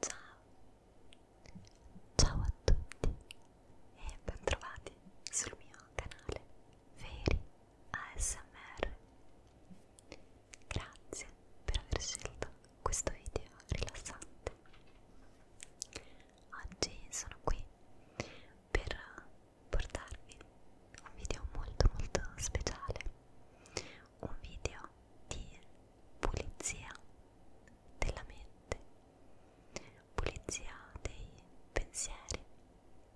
Ciao, ciao a tutti e bentrovati sul mio canale Veri ASMR. Grazie per aver scelto questo video rilassante. Oggi sono qui per portarvi un video molto molto speciale, un video di pulizia della mente, pulizia dei pensieri.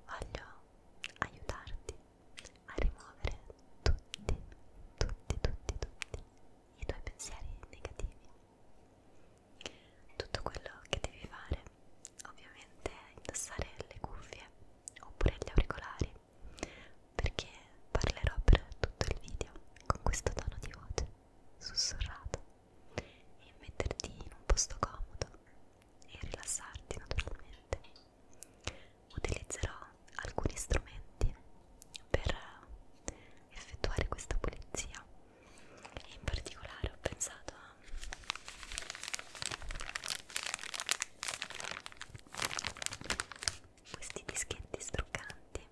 Voglio aiutarti a rimuovere tutti, tutti, tutti, tutti i tuoi pensieri negativi tutto quello che devi fare ovviamente è indossare le cuffie oppure gli auricolari perché parlerò per tutto il video con questo tono di voce sussurrato e metterti in un posto comodo e rilassarti naturalmente. Utilizzerò alcuni strumenti per effettuare questa pulizia e in particolare ho pensato a questi dischetti struccanti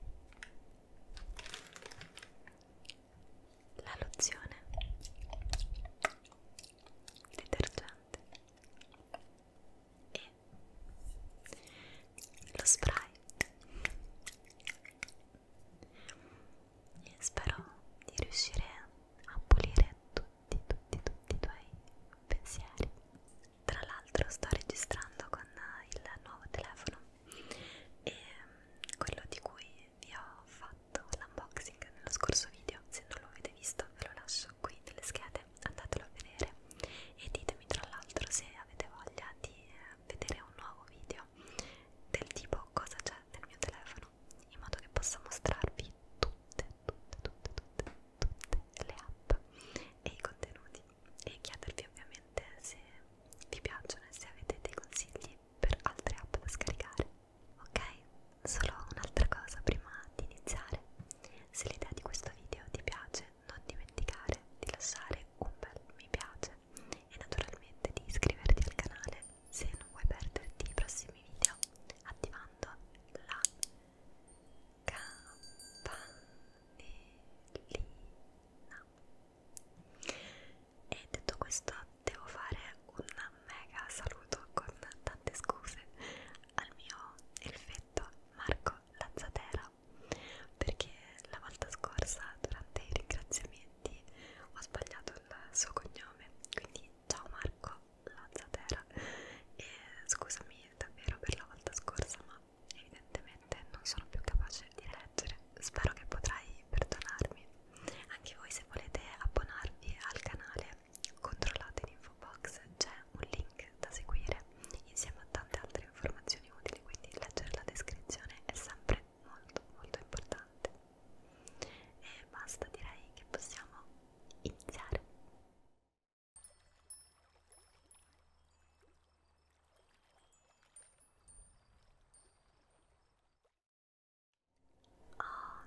la lozione il detergente e lo spray e spero di riuscire a pulire tutti tutti tutti i tuoi pensieri tra l'altro sto registrando con il nuovo telefono e mm, quello di cui vi ho fatto l'unboxing nello scorso video se non lo avete visto ve lo lascio qui nelle schede andatelo a vedere e ditemi tra l'altro se avete voglia di eh, vedere un nuovo video del tipo cosa c'è nel mio telefono in modo che possa mostrarvi tutte, tutte, tutte, tutte, tutte le app e i contenuti e chiedervi ovviamente se vi piacciono e se avete dei consigli per altre app da scaricare ok? solo un'altra cosa prima di iniziare se l'idea di questo video ti piace non dimenticare di lasciare un bel mi piace e naturalmente di iscriverti al canale se non vuoi perderti i prossimi video attivando la campanellina e detto questo devo fare un mega saluto con tante scuse al mio elfetto Marco Lazzatera realtà perché la volta scorsa durante i ringraziamenti ho sbagliato il suo cognome quindi ciao Marco Lazzatera e scusami davvero per la volta scorsa ma evidentemente non sono più capace di leggere spero che potrai perdonarmi anche voi se volete abbonarvi al canale controllate in info box c'è un link da seguire insieme a tante altre informazioni informazioni utili, quindi leggere la descrizione è sempre molto molto importante. E basta, direi che possiamo iniziare. Oh,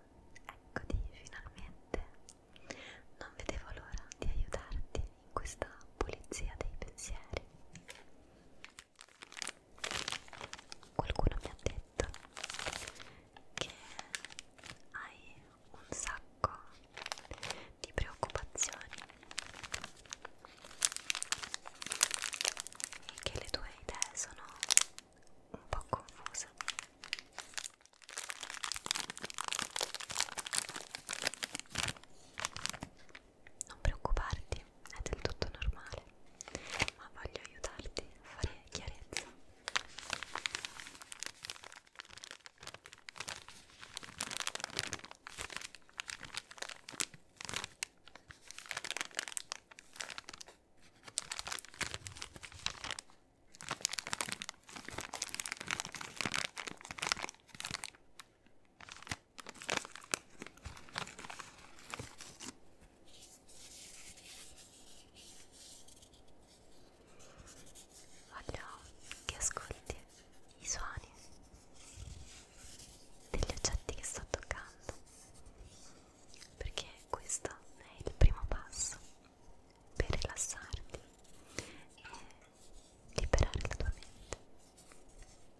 eccoti finalmente. Non vedevo l'ora di aiutarti in questa pulizia dei pensieri. Qualcuno mi ha detto che hai un sacco di preoccupazioni e che le tue idee sono un po' confuse non preoccuparti, è del tutto normale, ma voglio aiutarti a fare chiarezza. Voglio che ascolti i suoni degli oggetti che sto toccando perché questo è il primo passo per rilassarti e liberare la tua mente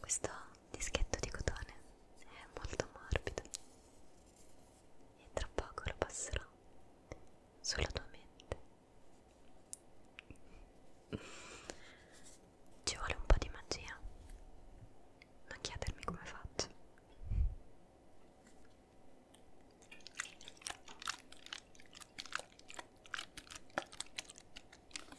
Questo dischetto di cotone è molto morbido e tra poco lo passerò sulla tua mente. Ci vuole un po' di magia. Non chiedermi come faccio.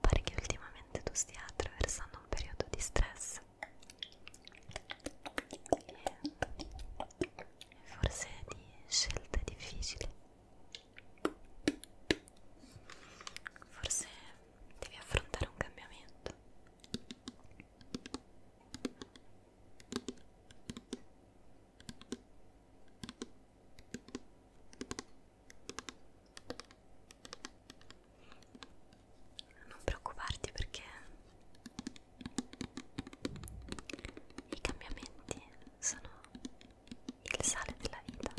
Pare che ultimamente tu stia attraversando un periodo di stress e forse di scelte difficili. Forse devi affrontare un cambiamento. Non preoccuparti perché i cambiamenti sono il sale della vita.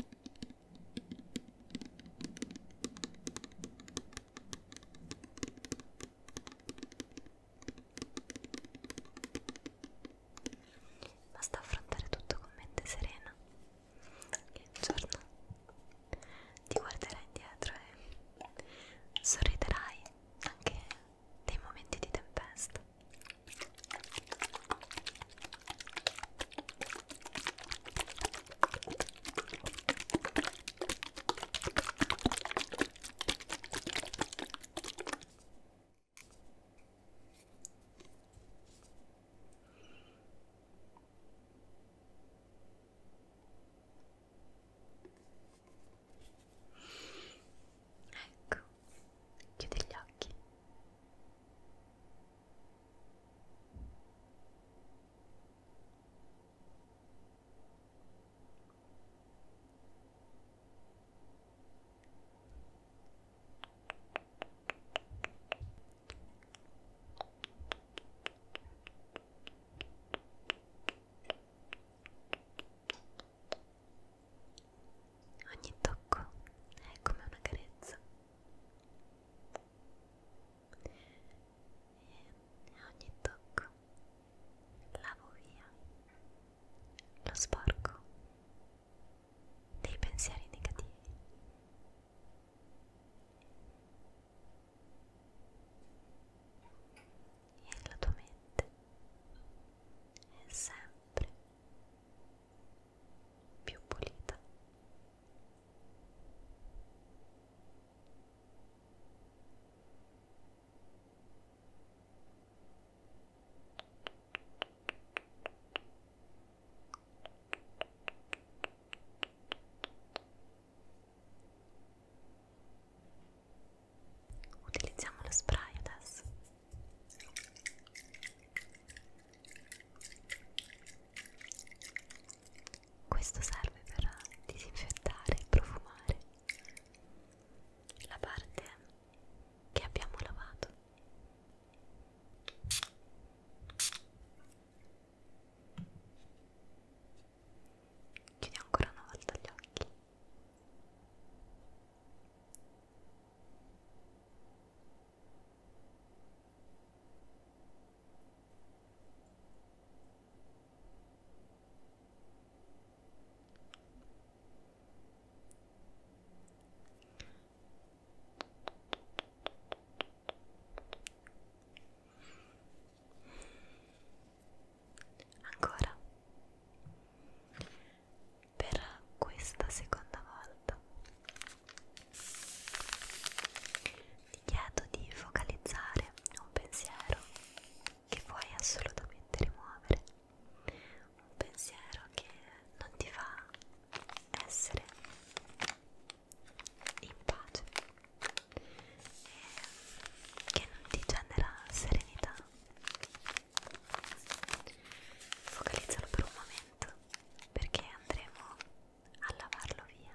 Basta affrontare tutto con mente serena e un giorno ti guarderai indietro e sorriderai anche nei momenti di tempesta. Ecco, chiudi gli occhi. Ogni tocco è come una carezza e ogni tocco lavo via lo sporco dei pensieri negativi. E la tua mente è sempre più pulita. Utilizziamo lo spray adesso. Questo serve per disinfettare e profumare la parte che abbiamo lavato. Chiudi ancora una volta gli occhi. Ancora per questa seconda volta ti chiedo di focalizzare un pensiero che vuoi assolutamente rimuovere, un pensiero che non ti fa essere in pace e che non ti genera serenità. Focalizzalo per un momento perché andremo a lavarlo via.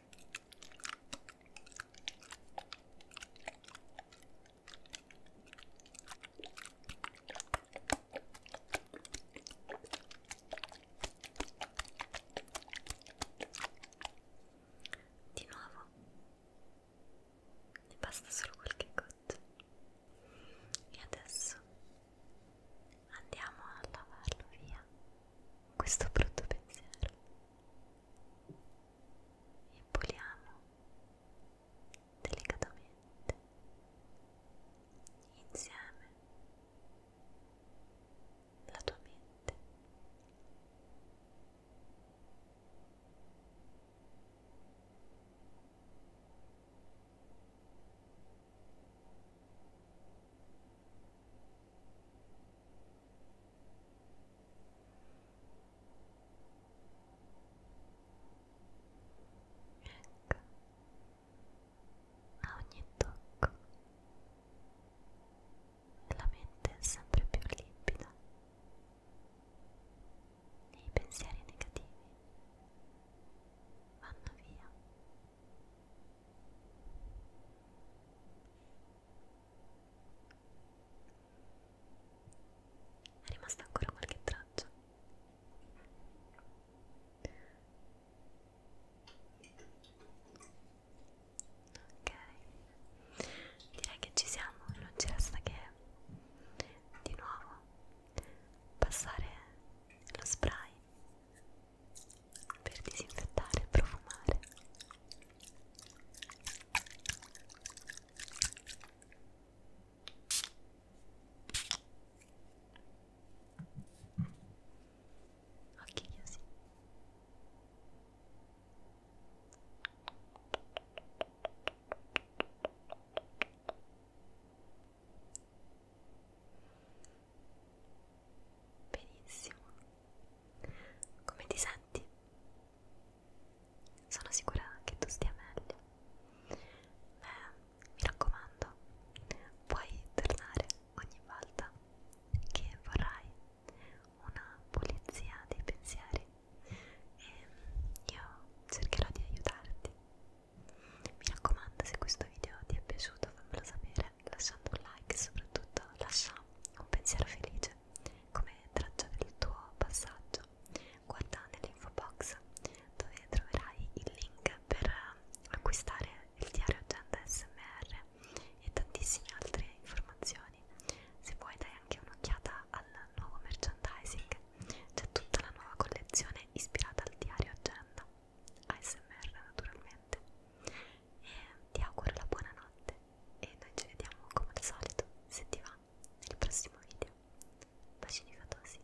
Di nuovo ne basta solo qualche goccia e adesso andiamo a lavarlo via questo brutto pensiero Impoliamo delicatamente insieme la tua mente. Ora Ecco, a ogni tocco la mente è sempre più limpida e i pensieri negativi vanno via. È rimasta ancora qualche traccia. Ok, direi che ci siamo, non ci resta che di nuovo passare lo spray per disinfettare e profumare Occhi chiusi. Benissimo. Come ti senti? Sono sicura che tu stia meglio. Beh, mi raccomando, puoi tornare ogni volta che vorrai una pulizia dei pensieri e io cercherò di aiutarti. Mi raccomando, se questo video ti è piaciuto fammelo sapere lasciando un like e soprattutto lascia un pensiero felice come traccia del tuo passaggio guarda nell'info box dove troverai il link per acquistare il diario agenda smr e tantissime altre informazioni se vuoi dai anche un'occhiata al nuovo merchandising c'è tutta la nuova collezione ispirata al diario agenda ASMR naturalmente e ti auguro la buona notte e noi ci vediamo come al solito, se ti va, nel prossimo video. Bacini fatosi.